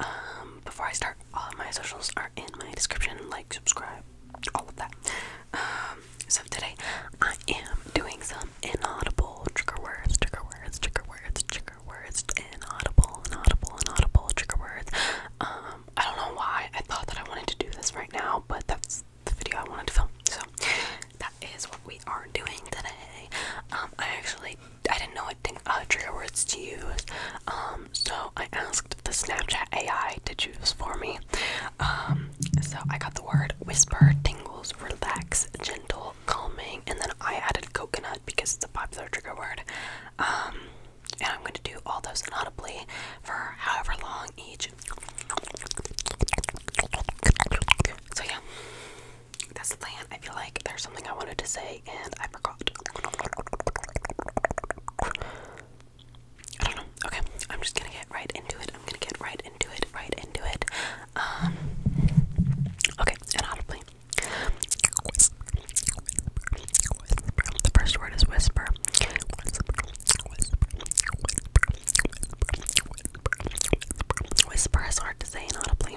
Um, before I start, all of my socials are in my description. Like, subscribe, all of that. Um, so today I am doing some inaudible trigger words, trigger words, trigger words, trigger words, inaudible, inaudible, inaudible trigger words. Um, I don't know why I thought that I wanted to do this right now, but that's the video I wanted to film. So that is what we are doing today. Um, I actually I didn't know what thing, uh, trigger words to use. Um, so I asked the Snapchat AI to choose for me. Um, so I got the word whisper, tingles, relax, gentle, calming, and then I added coconut because it's a popular trigger word. Um, and I'm going to do all those inaudibly for however long each. So yeah, that's the plan. I feel like there's something I wanted to say today and I forgot. I don't know. Okay, I'm just gonna get right into it. I'm gonna get right into it, right into it. Um, okay, and audibly. The first word is whisper. Whisper is hard to say inaudibly.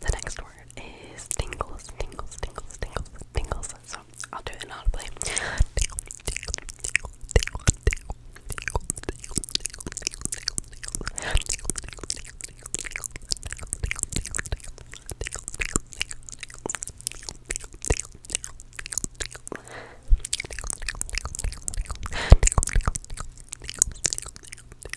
The next word is tingles, tingles, tingles, tingles, tingles. So I'll do it inaudibly.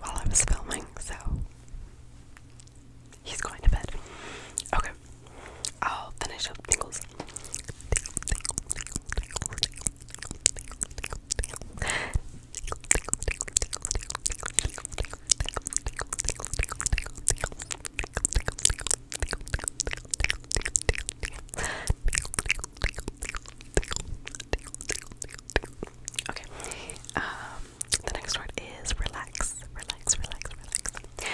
while I was filming, so he's going to bed. Okay, I'll finish up Okay. Um, the next word is relax. Relax, relax, relax.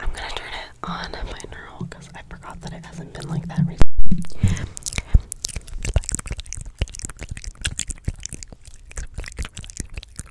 I'm gonna turn it on my neural because I forgot that it hasn't been like that recently. relax, relax, relax, relax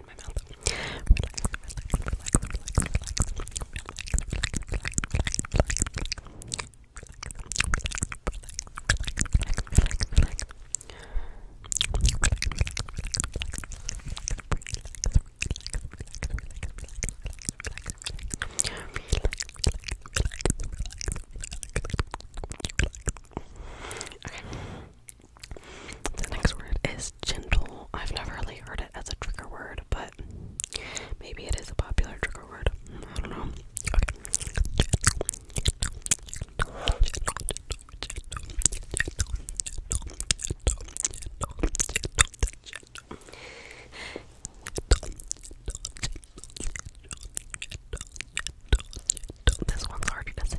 in my mouth. Relax, relax, relax, Okay. The next word is gentle. I've never really heard it as a trigger word, but maybe it is a popular trigger word. I don't know. This one's harder to say.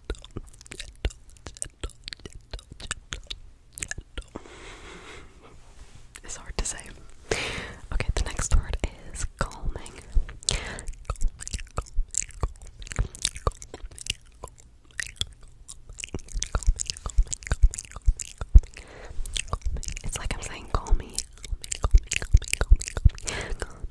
It's hard to say. Okay, the next word is calming. It's like I'm saying, call me,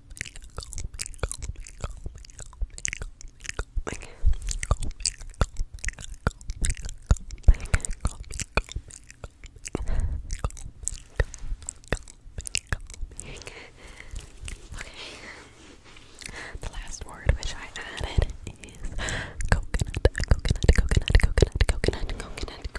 The last word which I added is coconut, coconut, coconut, coconut, coconut, coconut,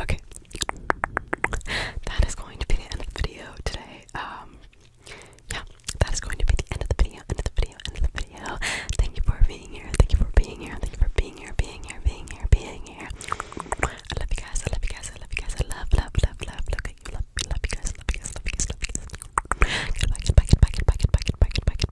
Okay. That is going to be the end of the video today. Um yeah, that is going to be the end of the video, end of the video, end of the video. Thank you for being here. Thank you for being here. Thank you for being here, being here, being here, being here. I love you guys. I love you guys. I love you guys. I love, love, love, love. Look at you. Love, love you guys. Love you guys. Love you guys. Love you guys. Goodbye. Goodbye. Goodbye. Goodbye. Goodbye. Goodbye. Goodbye. Goodbye.